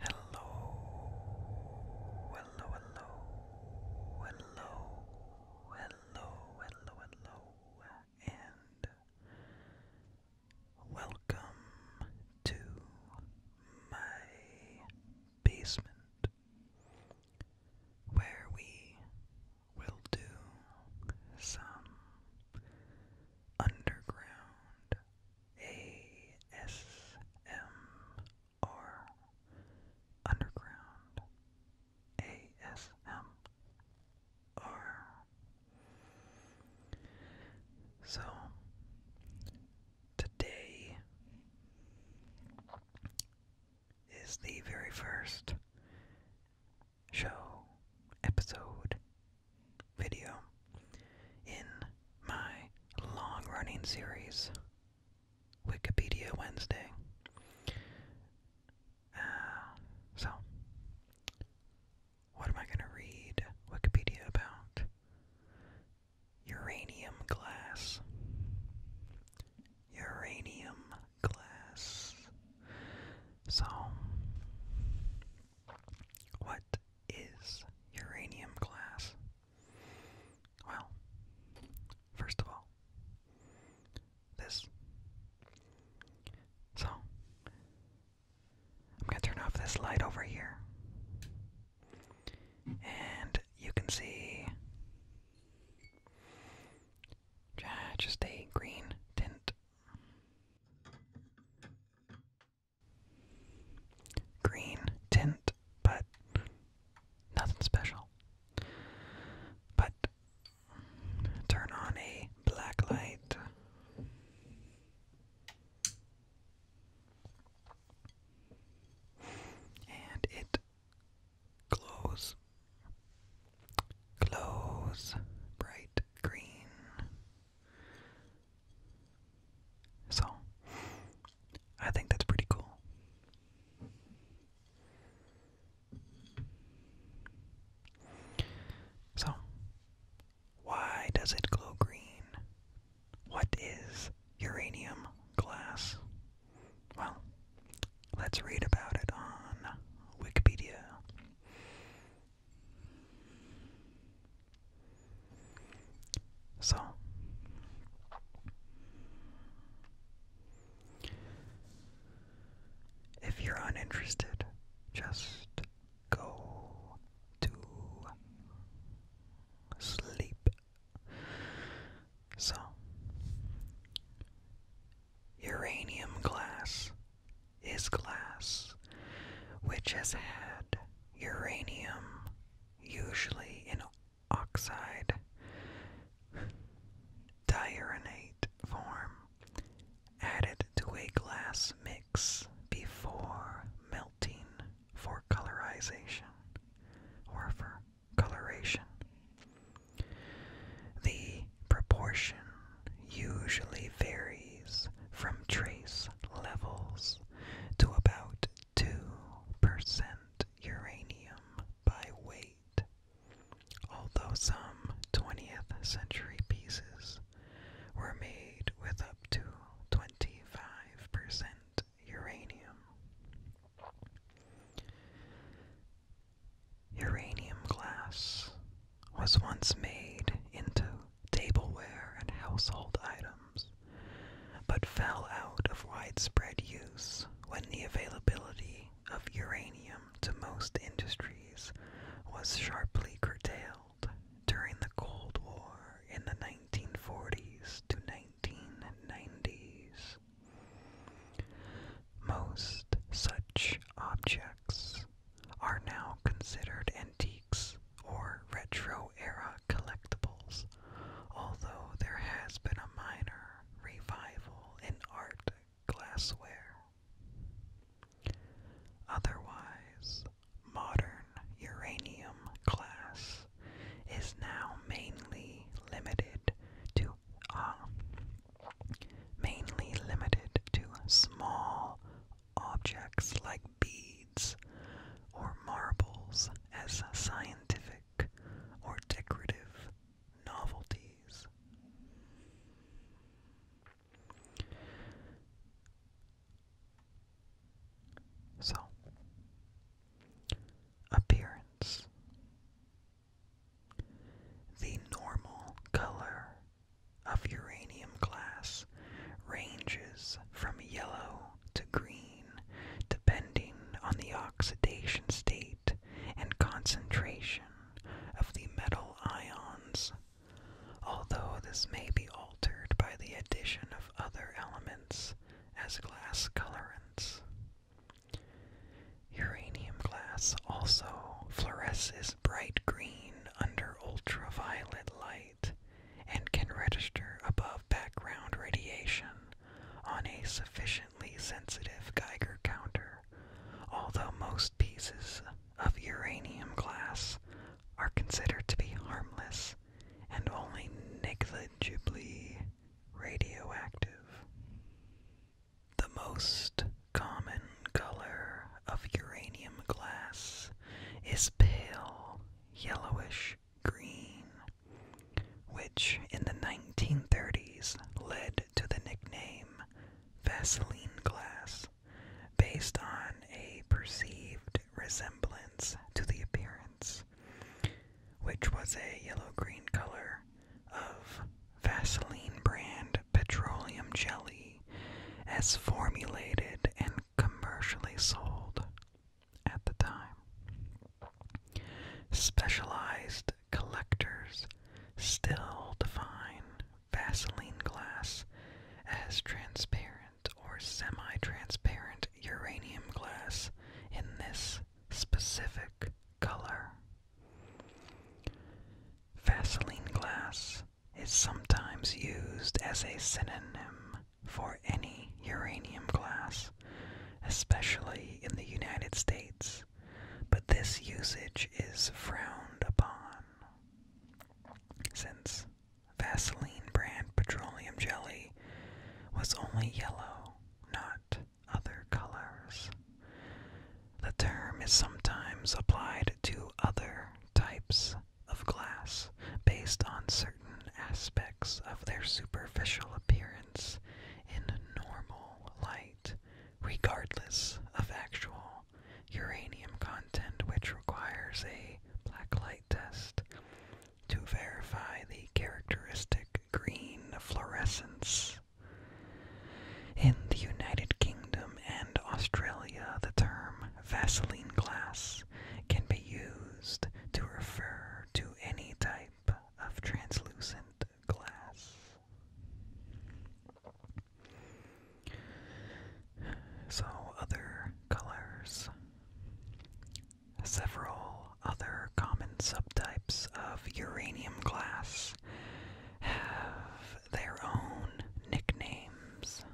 Hello, hello, hello, hello, hello, hello, hello, and welcome to my basement where we will do some underground ASMR. Underground ASMR. So, Today is the very first show, episode, video in my long running series, Wikipedia Wednesday. Uh, so, what am I going to read Wikipedia about? uranium glass, uranium glass. So, what is uranium glass? Well, first of all, this. So, I'm going to turn off this light over here. And you can see uh, just a green tint. Green tint, but nothing special. But turn on a black light and it glows, glows bright green. So, I think that's pretty cool. So, why does it glow green? What is uranium glass? Well, let's read about it on Wikipedia. So, if you're uninterested, just go to sleep. So, uranium glass is glass which has had uranium, usually in oxide, diuranate form, added to a glass mix before melting for colorization or for coloration. The proportion usually varies from trace levels to about 2% uranium by weight, although some 20th century pieces were made with up to 25% uranium. Uranium glass was once made into tableware and household items, but fell out of widespread use when the availability of uranium to most industries was sharply curtailed during the Cold War in the 1940s to 1990s. Most such objects are now considered antiques or retro era collectibles, although there has been a minor revival in art glassware. Otherwise, modern uranium class is now mainly limited to uh, mainly limited to small objects like beads or marbles as scientific or decorative novelties. So, appearance. The normal color of uranium glass ranges from yellow to green depending on the oxidation state and concentration of the metal ions although this may be altered by the addition of other elements as glass colorants. Uranium glass also fluoresces bright green under ultraviolet light and can register above background radiation on a sufficiently sensitive Geiger counter, although most pieces of uranium glass are considered to be harmless and only negligibly radioactive. The most common color of uranium glass is pale yellowish green, which in the 1930s led to the nickname Vaseline glass based on a perceived resemblance to the appearance, which was a yellow green color of Vaseline brand petroleum jelly as formulated and commercially sold at the time. Specialized collectors still define Vaseline glass as transparent or semi transparent uranium glass in this specific color. Vaseline glass is sometimes used as a synonym for any uranium glass, especially in the United States, but this usage is frowned upon since Vaseline brand petroleum jelly was only yellow, not other colors. The term is sometimes applied to other types of glass based on certain aspects of their superficial appearance in normal light, regardless of actual uranium content, which requires a black light test to verify the characteristic green fluorescence. In the United Kingdom and Australia, the term Vaseline glass can be used to refer to any type of translucent glass. So, other colors. Several other common subtypes of uranium glass have their own nicknames.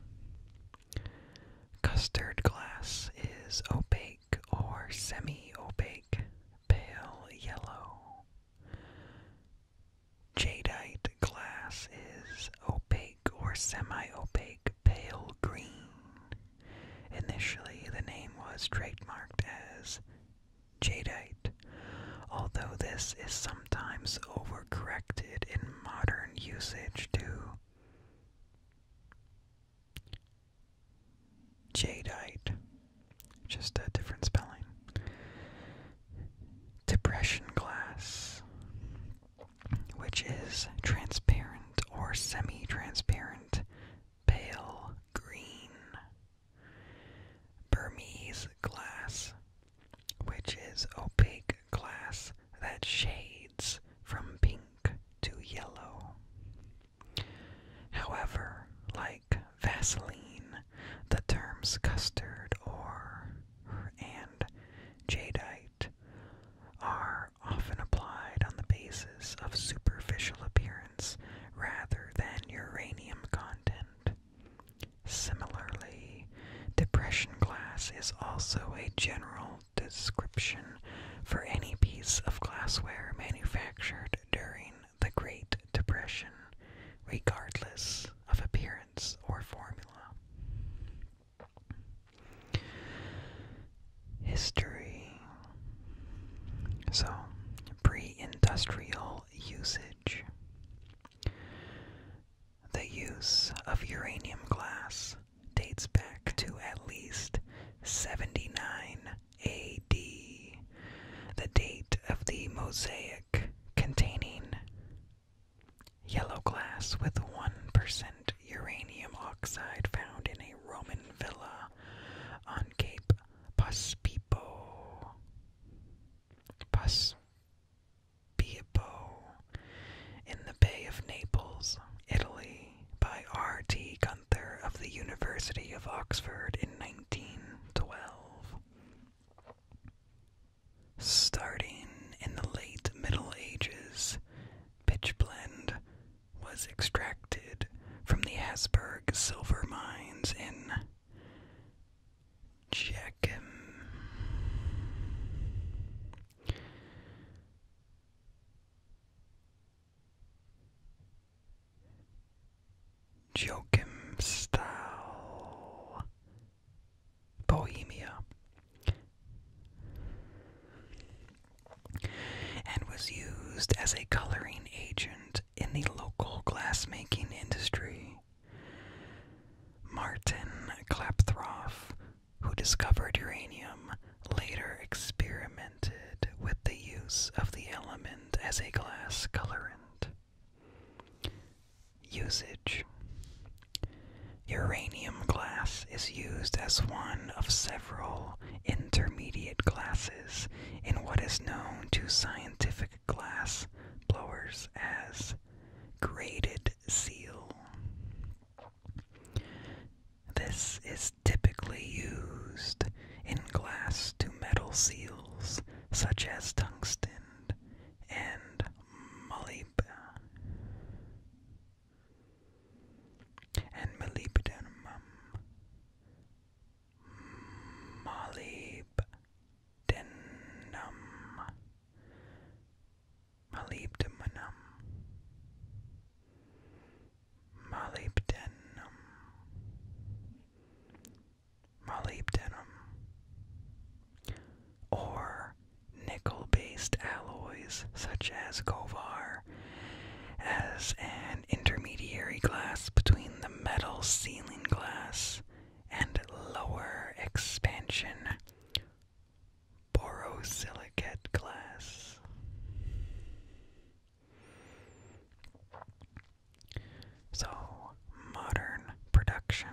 Custard glass is opaque or semi opaque, pale yellow. Jadeite glass is opaque or semi-opaque pale green. Initially, the name was trademarked as jadeite, although this is sometimes overcorrected in modern usage to jadeite, just a different spelling depression glass, which is transparent or semi transparent, pale green. Burmese glass, which is opaque glass that shades from pink to yellow. However, like Vaseline, the terms custard or and jadeite are often applied on the basis of superficial appearance rather than uranium content. Similarly, depression glass is also a general description for any piece of glassware manufactured during the Great Depression, regardless of appearance or formula. History. So, pre industrial usage. The use of uranium glass dates back to at least 79 AD the date of the mosaic containing yellow glass with 1% uranium oxide found in a Roman villa on Cape Paspipo. in the Bay of Naples, Italy, by R.T. Gunther of the University of Oxford in 1912. Starting in the late Middle Ages, pitchblende was extracted from the Asberg silver mines in Jechem. Joachim style Bohemia and was used as a coloring agent in the local glassmaking industry. Martin Klaproth, who discovered uranium, later experimented with the use of the element as a glass colorant. Usage Uranium glass is used as one of several intermediate glasses in what is known to scientific glass blowers as graded seal. This is typically used in glass to metal seals such as tungsten and molybdenum. molybdenum. Molybdenum. Molybdenum. Molybdenum molybdenum, or nickel-based alloys such as Govar as an intermediary glass between the metal sealing glass and lower expansion borosilicate glass. So, modern production.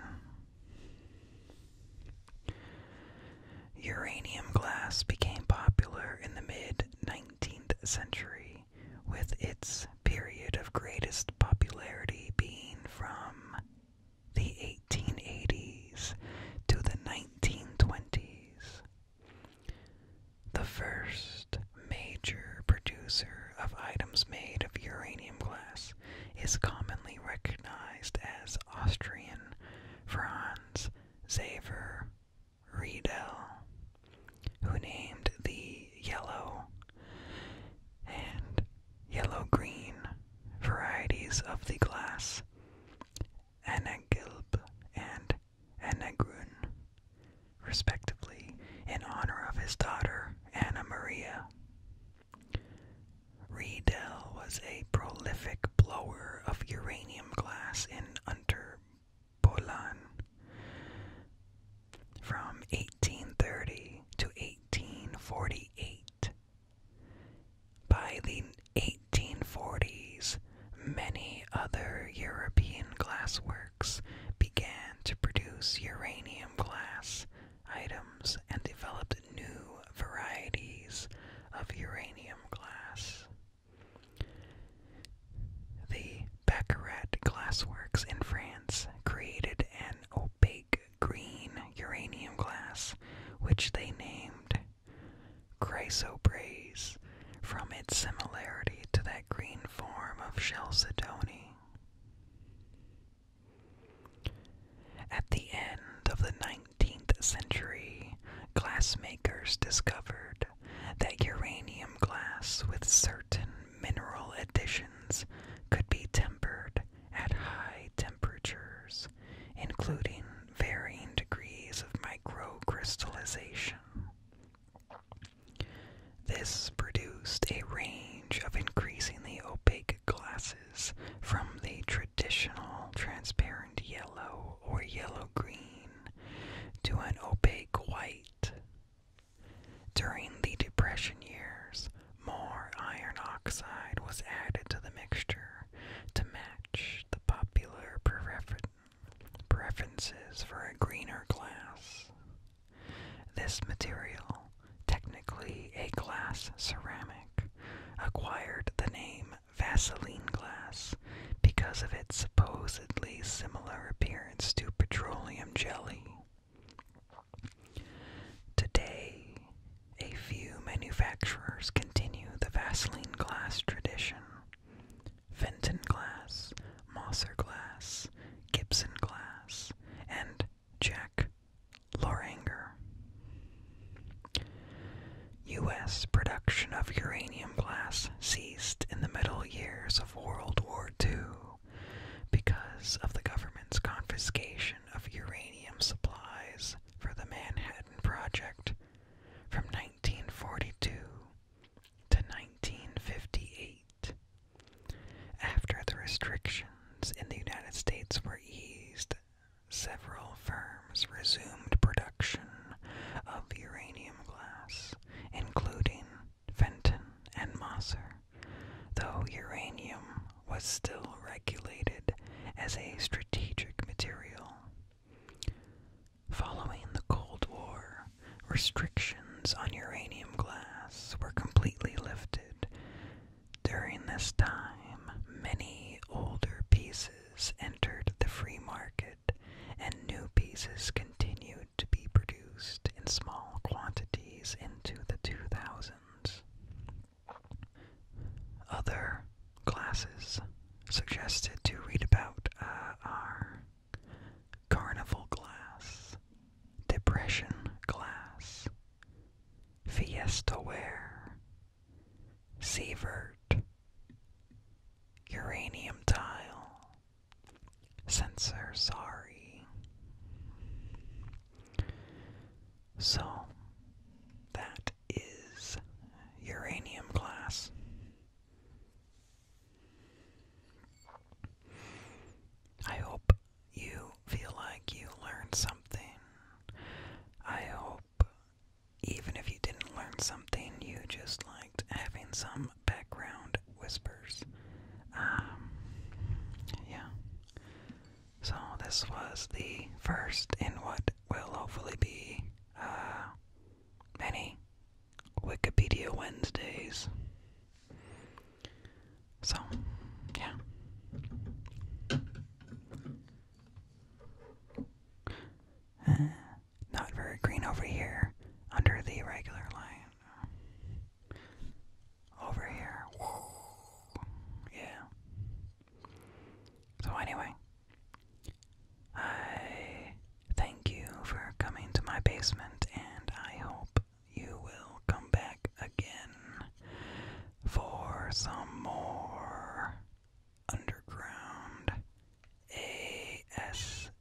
Uranium glass became popular in the mid 19th century, with its period of greatest popularity being from the 1880s to the 1920s the first major producer of items made of uranium glass is commonly recognized as Austrian Franz Xaver Riedel, who named the yellow and yellow green varieties of the glass Anagelb and Anagrun respectively, in honor of his daughter, Anna Maria. Riedel was a prolific blower of uranium glass in Unterbolan. From 1830 to 1848. By the 1840s, many other European glassworks began to produce uranium glass items and developed new varieties of uranium glass. The Baccarat Glassworks in France created an opaque green uranium glass, which they named chrysoprase from its similarity to that green form of Chalcedony. At the end of the 19th century, glassmakers discovered that uranium glass with certain mineral additions could be tempered at high temperatures, including varying degrees of microcrystallization. This produced a range of increasingly opaque glasses from the traditional transparent yellow or yellow green to an opaque white. During the Depression years, more iron oxide was added to the mixture to match the popular preference preferences for a greener glass. This material, technically a glass ceramic, acquired the name Vaseline glass because of its supposedly similar appearance to petroleum jelly. Today, a few manufacturers continue the Vaseline glass tradition, Fenton glass, Mosser glass, Gibson glass, and Jack Loranger. U.S. production of uranium glass ceased in the middle years of World War II because of the government's confiscation of uranium supplies for the Manhattan Project from 1942 to 1958. After the restrictions in the United States were eased, several firms resumed production of uranium glass, including Fenton and Moser, though uranium was still regulated as a strategic material. Following the Cold War, restrictions on uranium glass were completely lifted. During this time, many older pieces entered the free market, and new pieces continued to be produced in small quantities into the 2000s. Other classes suggested to read about uh, are Carnival glass, depression glass, fiesta ware, sievert, uranium tile, sensor sorry. So that is uranium glass. I hope you feel like you learned something. I hope, even if you didn't learn something, you just liked having some background whispers. Um, yeah. So, this was the first in what will hopefully be uh, many Wikipedia Wednesdays. So, yeah. Uh, not very green over here, under the regular line. Over here. Yeah. So, anyway. I thank you for coming to my basement, and I hope you will come back again for some more underground ASMR.